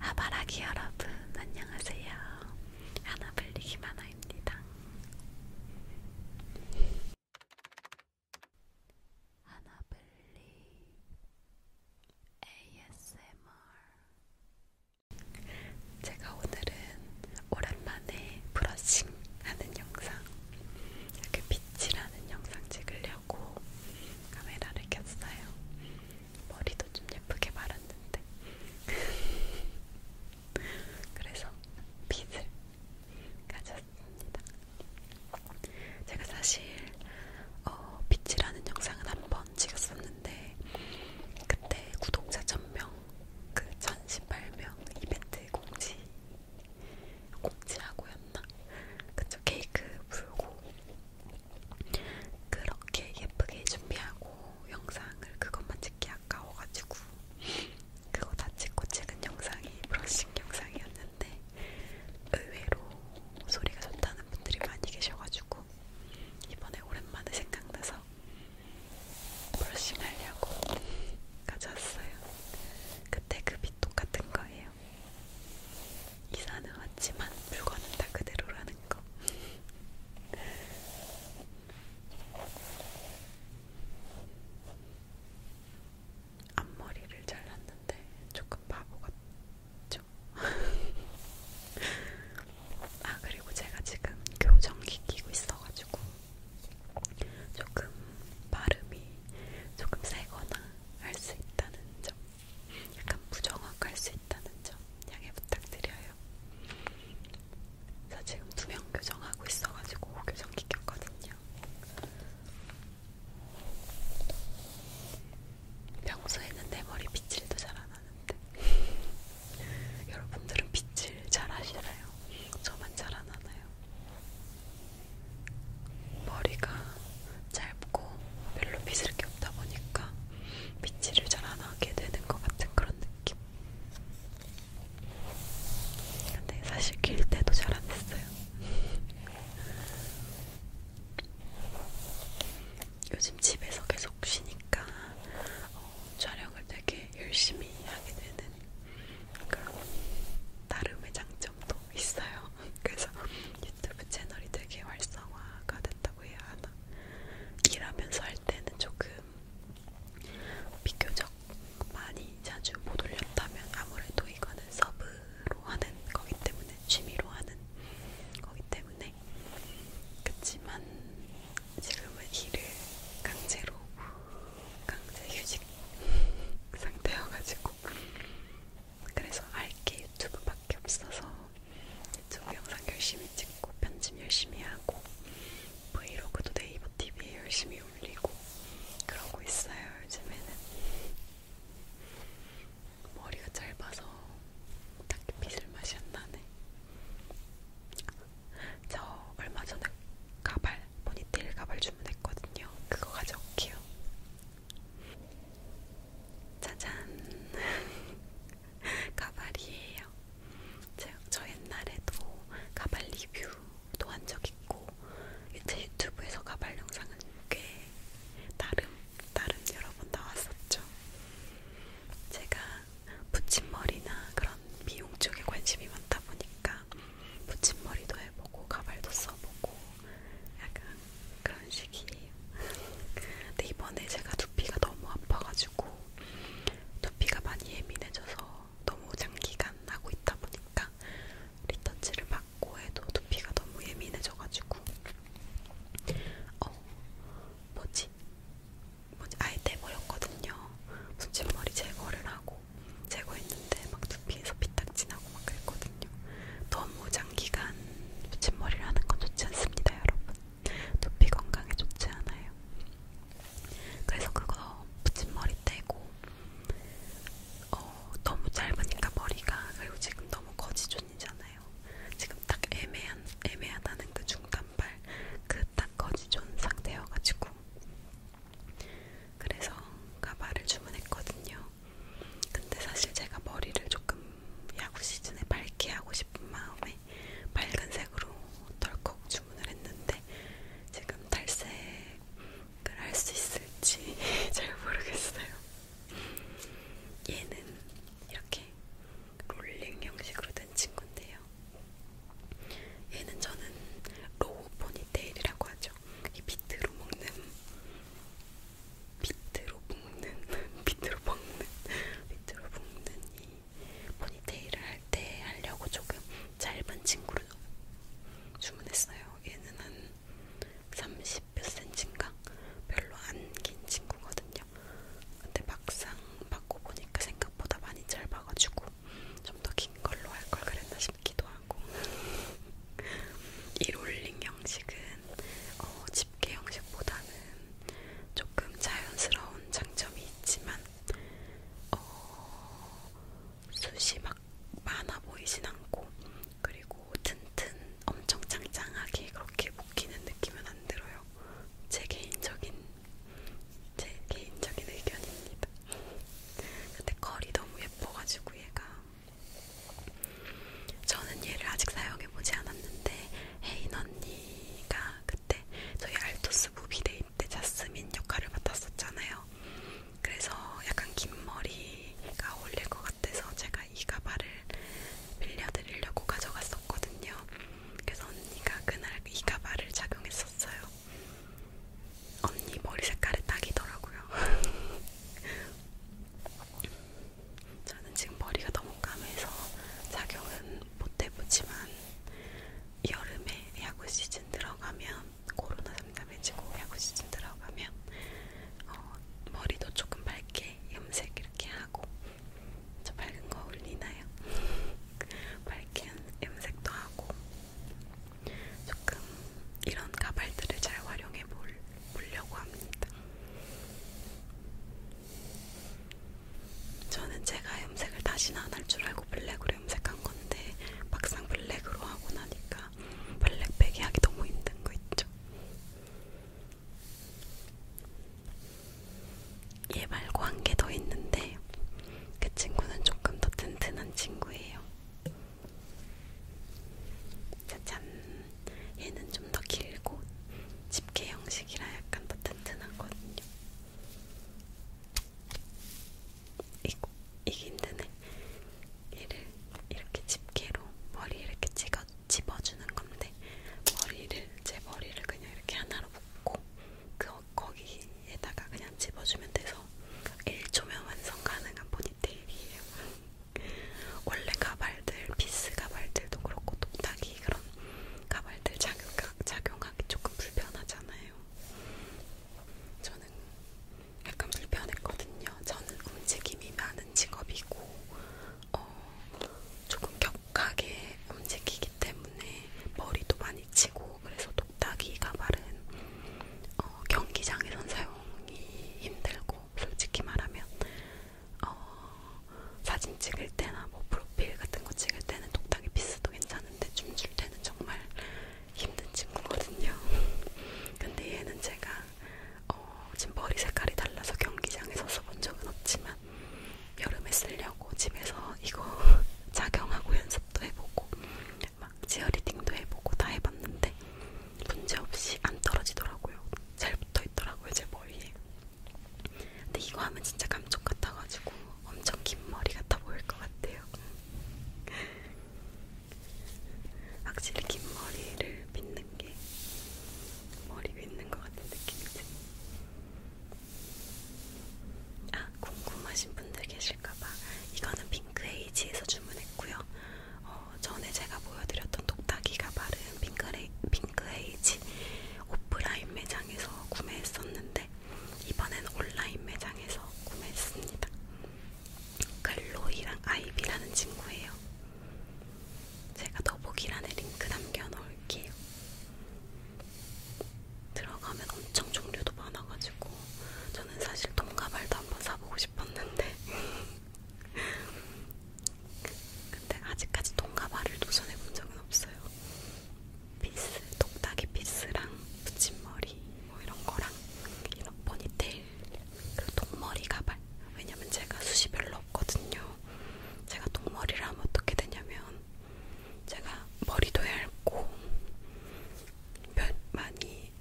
아바라기 여러분 안녕하세요. 하나블리기 만화입니다. 하나블리 ASMR 제가 오늘은 오랜만에 브러싱 하는 영상 이렇게 빛이라는 영상 찍으려고 카메라를 켰어요. 머리도 좀 예쁘게 말았는데 그래서 빗을 가졌습니다. 제가 사실 어, 빛이라는 영상은 한 번 찍었었는데 그때 구독자 1000명, 그 1018명 이벤트 공지 공지하고였나? 그쵸 케이크 불고 그렇게 예쁘게 준비하고 영상을 그것만 찍기 아까워가지고 그거 다 찍고 찍은 영상이 브러싱 영상이었는데 의외로 소리가 좋다는 분들이 많이 계셔가지고 이번에 오랜만에 생각나서 브러싱 하려고 가져왔어요. 그때 그빛 똑같은 거예요. 이사는 왔지만 물건은 다 그대로라는 거. 앞머리를 잘랐는데 조금 바보 같죠? 아 그리고 제가 지금 교정기 끼고 있어가지고 조금 발음이 조금 세거나 할 수 있다는 점 약간 부정확할 수 있다는 점 양해 부탁드려요. 저 지금 두 명 교정하고 있어가지고 교정기 켰거든요. 평소에는 내 머리 빗질도 잘안 하는데 여러분들은 빗질 잘 하시나요? 저만 잘 안 하나요? 머리가 짧고 별로 빗을 게 없다 보니까 빗질을 잘 안 하게 되는 것 같은 그런 느낌. 근데 사실 길 때도 잘 안 했어요. 요즘 집에서 계속 쉬니까 어, 촬영을 되게 열심히 하게 되는 그런 나름의 장점도 있어요. 그래서 유튜브 채널이 되게 활성화가 됐다고 해야 하나? 일하면서 할 때는 조금 비교적 많이 자주 못 올렸다면 아무래도 이거는 서브로 하는 거기 때문에 취미로 하는 거기 때문에 그렇지만 지금은 일을 강제로 강제 휴직 상태여가지고 그래서 알게 유튜브밖에 없어서 유튜브 영상 열심히 찍고 편집 열심히 하고 브이로그도 네이버 TV에 열심히 올리고 그러고 있어요 요즘에는 머리가 짧아서 딱히 빗을 맛이 안 나네. 저 얼마 전에 가발, 포니테일 가발 주문했거든요. 그거 가져올게요. 짜잔 가발이에요. 저, 저 옛날에도 가발 리뷰도 한 적 있고 제 유튜브에서 가발 영상은 꽤 나름 나름 여러 번 나왔었죠. 제가 붙임머리나 그런 미용 쪽에 관심이 많다 보니까 붙임머리도 해보고 가발도 써보고 약간 그런 식이에요. 근데 이번에 제가 두피가 너무 아파가지고 두피가 많이 예민해져서 너무 장기간 하고 있다 보니까 리터치를 받고 해도 두피가 너무 예민해져가지고 어 뭐지 뭐지 아예 떼버렸거든요. 손짓머리 제거를 하고 제거했는데 막 두피에서 피딱지 나고 하고 막 그랬거든요. 너무 장기간 붙임머리를 하는 건 좋지 않습니다, 여러분. 두피 건강에 좋지 않아요. 그래서 그거 붙임머리 떼고 어, 너무 짧으니까 머리가 그리고 지금 너무 거지존이잖아요. 지금 딱 애매한 애매하다는 그 중간발 그 딱 거지존 상태여가지고 그래서 가발을 주문했거든요. 근데 사실 제가 머리를 조금 야구 시즌에 밝게 하고 싶은 마음에 밝은색으로 덜컥 주문을 했는데 지금 탈색을 할 수 있을지 잘 모르겠어요. 얘는 이렇게 롤링 형식으로 된 친구인데요. 얘는 저는 로우 포니테일이라고 하죠. 맛있죠. 이 비트로 먹는 비트로 먹는 비트로 먹는 비트로 먹는 이 포니테일을 할때 하려고 조금 짧은 친구를 주문했어요. 얘는 한 30몇 센치인가 별로 안 긴 친구거든요. 근데 막상 받고 보니까 생각보다 많이 짧아가지고 좀 더 긴 걸로 할 걸 그랬나 싶어요. 춥기도 하고 이 롤링 형식은 어, 집게 형식보다는 조금 자연스러운 장점이 있지만 어, 숱이 막 많아 보이진 않고 그리고 튼튼 엄청 짱짱하게 그렇게 묶이는 느낌은 안 들어요. 제 개인적인 제 개인적인 의견입니다. 근데 컬이 너무 예뻐가지고 얘가 저는 얘를 아직 사용해보지 않았는데 헤인 언니가 그때 저희 알토스 무비데이 때 자스민 역할을 맡았었잖아요. 그래서 약간 긴 머리가 어울릴 것 같아서 제가 이 가발을 빌려드리려고 가져갔었거든요. 그래서 언니가 그날 이 가발을 착용했었어요. 언니 머리 색깔이 딱이더라고요. 저는 지금 머리가 너무 까매서 작용은 못 해보지만 여름에 야구 시즌 들어가면 코로나 잠잠해지고 야구 시즌 들어가면 어, 머리도 조금 밝게 염색 이렇게 하고 저 밝은 거 어울리나요? 밝게 염색도 하고 조금 이런 가발들을 잘 활용해 볼, 보려고 합니다. 저는 제가 염색을 다시는 안 할 줄 알고 블랙으로 염색한 건데 막상 블랙으로 하고 나니까 블랙 빼기 하기 너무 힘든 거 있죠. 얘 말고 한 개 더 있는데 그 친구는 조금 더 튼튼한 친구예요. 짜잔! 얘는 좀 더 길고 집게 형식이라 약간 더 튼튼하거든요. 이거, 이게 힘드네. 얘를 이렇게 집게로 머리 이렇게 찍어, 집어주는 건데 머리를, 제 머리를 그냥 이렇게 하나로 묶고 그 거기 여기에다가 그냥 집어주면 돼서 1초면 완성 가능한 포니테일이에요. 원래 가발들, 비스 가발들도 그렇고 똑딱이 그런 가발들 작용하, 작용하기 조금 불편하잖아요. 저는 약간 불편했거든요. 저는 움직임이 많은 직업이고 어, 조금 격하게 움직이기 때문에 머리도 많이 많이 치고 그래서 독딱이 가발은 어, 경기장에선 사용이 힘들고 솔직히 말하면 어, 사진 찍을 때나 뭐 프로필 같은 거 찍을 때는 독딱이 피스도 괜찮은데 춤출 때는 정말 힘든 친구거든요. 근데 얘는 제가 어, 지금 머리 색깔이 달라서 경기장에서 써본 적은 없지만 여름에 쓰려고 집에서 이거 착용하고 연습도 해보고 막 지어리딩도 해보고 다 해봤는데 문제없이 안 떨어지더라고요. 잘 붙어있더라고요 제 머리에. 근데 이거 하면 진짜 감쪽 같아가지고 엄청 긴 머리 같아 보일 것 같아요. 확실히 긴 머리를 빗는 게 머리 빗는 것 같은 느낌이지. 아 궁금하신 분들 계실까봐 이거는 핑크에이지에서 주문했고요. 어, 전에 제가 보여드렸던 독다기가 바른 핑크레, 핑크에이지 오프라인 매장에서 구매했었는데 이번엔 온라인 매장에서 구매했습니다. 글로이랑 아이비라는 친구예요. 제가 더보기란에 링크 남겨놓을게요. 들어가면 엄청 종류도 많아가지고 저는 사실 동가발도 한번 사보고 싶었는데 근데 아직까지 동가발을 도전해본 적은 없어요. 피스, 독다기 피스랑 붙임머리 뭐 이런 거랑 이런 포니테일 그리고 동머리 가발 왜냐면 제가 숱이 별로 없거든요. 제가 동머리를 하면 어떻게 되냐면 제가 머리도 얇고 면 많이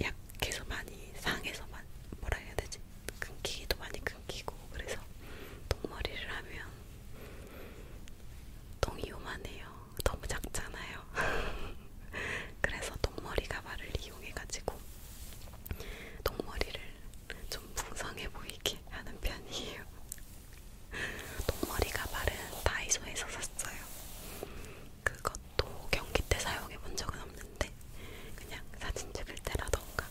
약해서 많이 상해서 만 뭐라 해야 되지? 끊기기도 많이 끊기고 그래서 똥머리를 하면 똥이 요만해요. 너무 작잖아요. 그래서 똥머리 가발을 이용해가지고 똥머리를 좀 풍성해 보이게 하는 편이에요. 동머리 가발은 다이소에서 샀어요. 그것도 경기 때 사용해 본 적은 없는데 그냥 사진 찍을 때라던가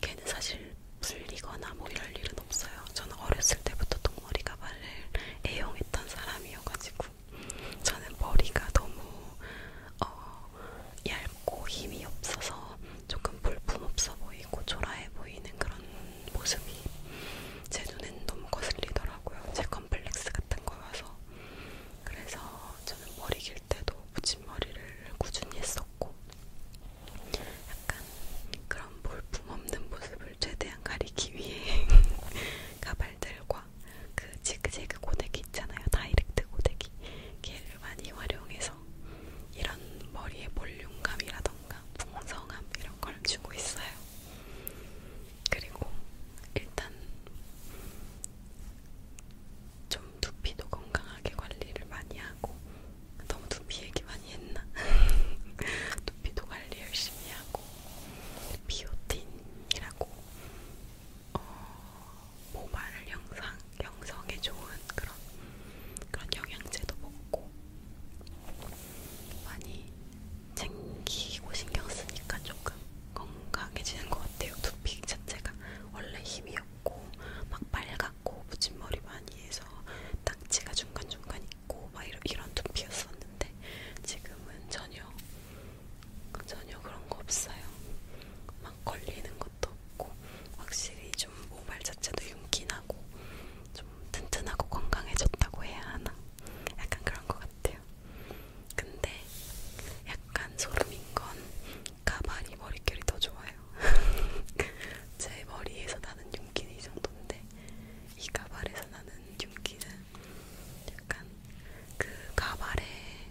걔는 사실 풀리거나 뭐 이럴 일은 없어요. 저는 어렸을 때부터 동머리 가발을 애용했던 사람이어가지고 저는 머리가 너무 어, 얇고 힘이 없어서 조금 볼품 없어 보이고 초라해 보이는 그런 모습이 제 눈엔 너무 거슬리더라고요. 제 컴플렉스 같은 거여서. 그래서 저는 머리 길 때도 붙임머리를 꾸준히 했었고, 약간 그런 볼품 없는 모습을 최대한 가리기 위해 가발들과 그 지그재그 고데기 있잖아요. 다이렉트 고데기. 걔를 많이 활용해서 이런 머리의 볼륨감이라던가 풍성함 이런 걸 주고 있어요. 그리고 일단 좀 두피도 건강하게 관리를 많이 하고 너무 두피 얘기 많이 했나? 두피도 관리 열심히 하고 비오틴이라고 어, 모발 형상, 형성에 좋은 그런 그런 영양제도 먹고 많이 챙기고 신경 쓰니까 조금 건강해지는 것 같아요. 두피 자체가 원래 힘이 없고 막 빨갛고 붙임 머리 많이 해서 딱지가 중간 중간 있고 막 이런 이런 두피였었는데 지금은 전혀 전혀 그런 거 없어요. 막 걸리는 것도 없고 확실히 좀 모발 자체도 윤기나고 좀 튼튼하고 건강해졌다고 해야 하나? 약간 그런 것 같아요. 근데 약간 소름인 건 가발이 머릿결이 더 좋아요. 제 머리에서 나는 윤기는 이 정도인데 이 가발에서 나는 윤기는 약간 그 가발에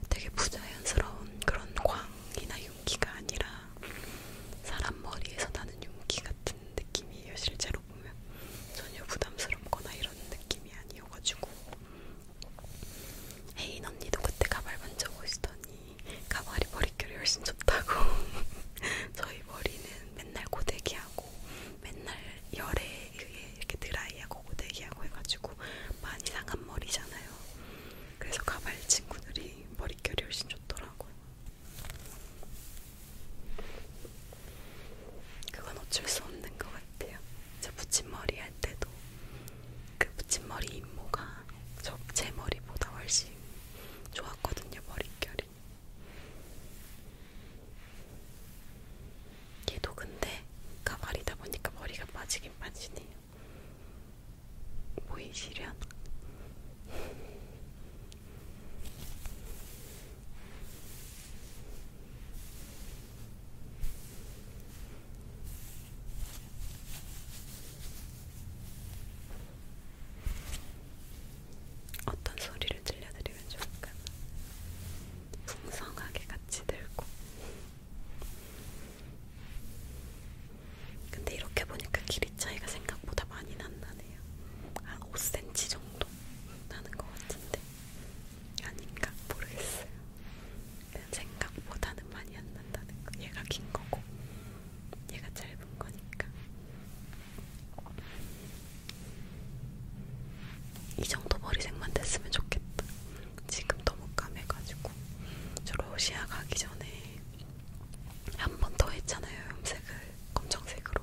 되게 부자연스러운 그런 광이나 윤기가 아니라 사람 머리에서 나는 윤기 같은 느낌이에요, 실제로. 실제로 보면 전혀 부담스럽거나 이런 느낌이 아니어가지고 헤인 언니도 그때 가발 만져보시더니 가발이 머릿결이 훨씬 좋다고 저희 머리는 맨날 고데기하고 맨날 열에 의해 이렇게 드라이하고 고데기하고 해가지고 많이 상한 머리잖아요 그래서 가발 친구들이 머릿결이 훨씬 좋더라고요 그건 어쩔 수 없는 것 같아요. 제 붙임머리 할 때도 그 붙임머리 인모가 저 제 머리보다 훨씬 좋았거든요. 머릿결이. 얘도 근데 가발이다 보니까 머리가 빠지긴 빠지네요. 보이시려나? 어떤 소리를 들려드리면 좋을까? 풍성하게 같이 들고. 근데 이렇게 보니까 길이 차이가 생각보다 많이 난다. 하네요. 한 5cm 정도 나는 것 같은데 아닌가 모르겠어요. 생각보다는 많이 안 난다는 거. 얘가 긴 거고 얘가 짧은 거니까. 이 정도 머리색만 됐으면 좋겠다. 지금 너무 까매가지고 저 러시아 가기 전에 한 번 더 했잖아요. 염색을 검정색으로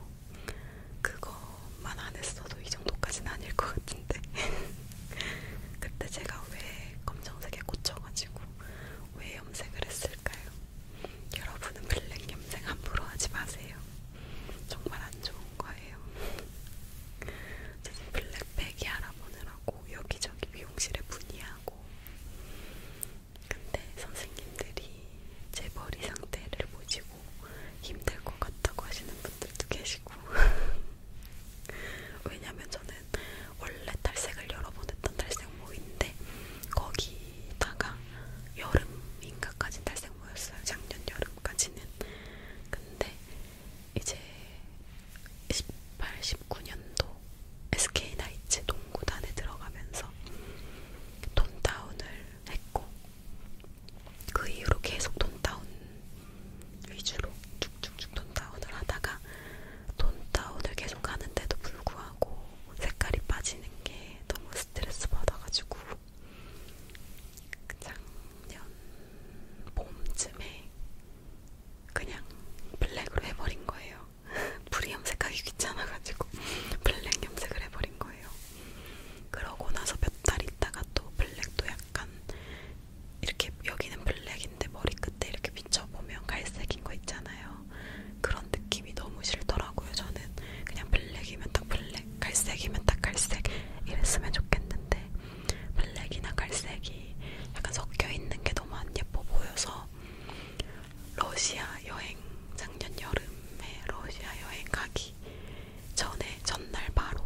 그것만 안 했어도 이 정도까지는 아닐 것 같은데 그때 제가 왜 검정색에 꽂혀가지고 왜 염색을 했을까요? 여러분은 블랙 염색 함부로 하지 마세요. 정말 안 좋은 거예요. 저는 블랙백이 알아보느라고 여기저기 미용실에 문의하고 근데 선생님들이 제 머리 상태를 보시고 힘들 것 같다고 하시는 분들도 계시고 왜냐면 저는 원래 탈색을 여러 번 했던 탈색모인데 거기다가 여름인가까지 탈색모였어요 작년 여름까지는 근데 이제 18, 19년도 SK 나이츠 농구단에 들어가면서 돈다운을 했고 그 이후로 계속 돈다운 위주로 쭉쭉쭉 돈다운을 하다가 돈다운을 계속 하는데도 불구하고 색깔이 빠지는 게 너무 스트레스 받아가지고 작년 봄쯤에 그냥 블랙으로 해버린 거예요. 불이 염색하기 귀찮아가지고 블랙 염색을 해버린 거예요. 그러고 나서 몇 달 있다가 또 블랙도 약간 이렇게 여기는 블랙인데 머리 끝에 이렇게 비춰보면 갈색인 거 있잖아요. 그런 느낌이 너무 싫더라고요. 저는 그냥 블랙이면 딱 블랙, 갈색이면 딱 갈색 이랬으면 좋겠는데 블랙이나 갈색이 약간 섞여 있는 게 너무 안 예뻐 보여서 러시아 여행 작년 여름에 러시아 여행 가기 전에 전날 바로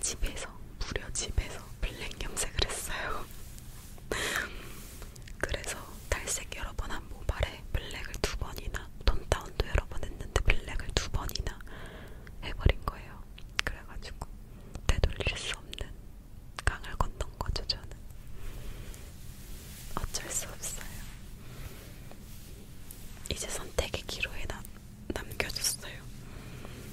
집에서 무려 집에서 블랙 염색을 했어요. 그래서 탈색 여러 번 한 모발에 블랙을 두 번이나 톤다운도 여러 번 했는데 블랙을 두 번이나 해버린 거예요. 그래가지고 되돌릴 수 없는 강을 건넌 거죠, 저는. 어쩔 수 없어요. 이제 선택의 기로에 남, 남겨줬어요.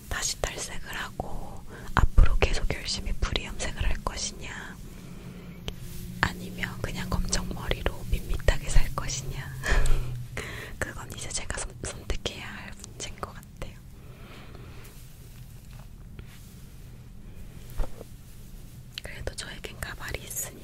다시 탈색을 하고 앞으로 계속 열심히 불이염색을 할 것이냐, 아니면 그냥 검정 머리로 밋밋하게 살 것이냐, 그건 이제 제가 선, 선택해야 할 문제인 것것 같아요. 그래도 저에겐 가발이 있으니까요.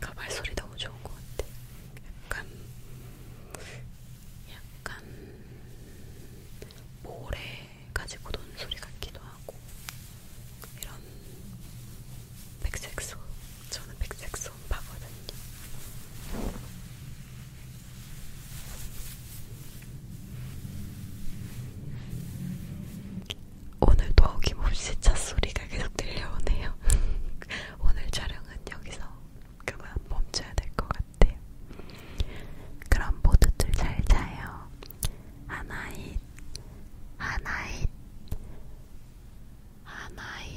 그 말소리 너무 좋은 것 같아. 약간, 약간, 모래 가지고 노는 소리 같기도 하고, 이런, 백색소. 저는 백색소 파거든요. 오늘도 어김없이 찻소리가 계속 들려오네요. 오늘 촬영은 여기서 그만 멈춰야 될 것 같아요. 그럼 모두들 잘 자요. 하나잇, 하나잇, 하나잇.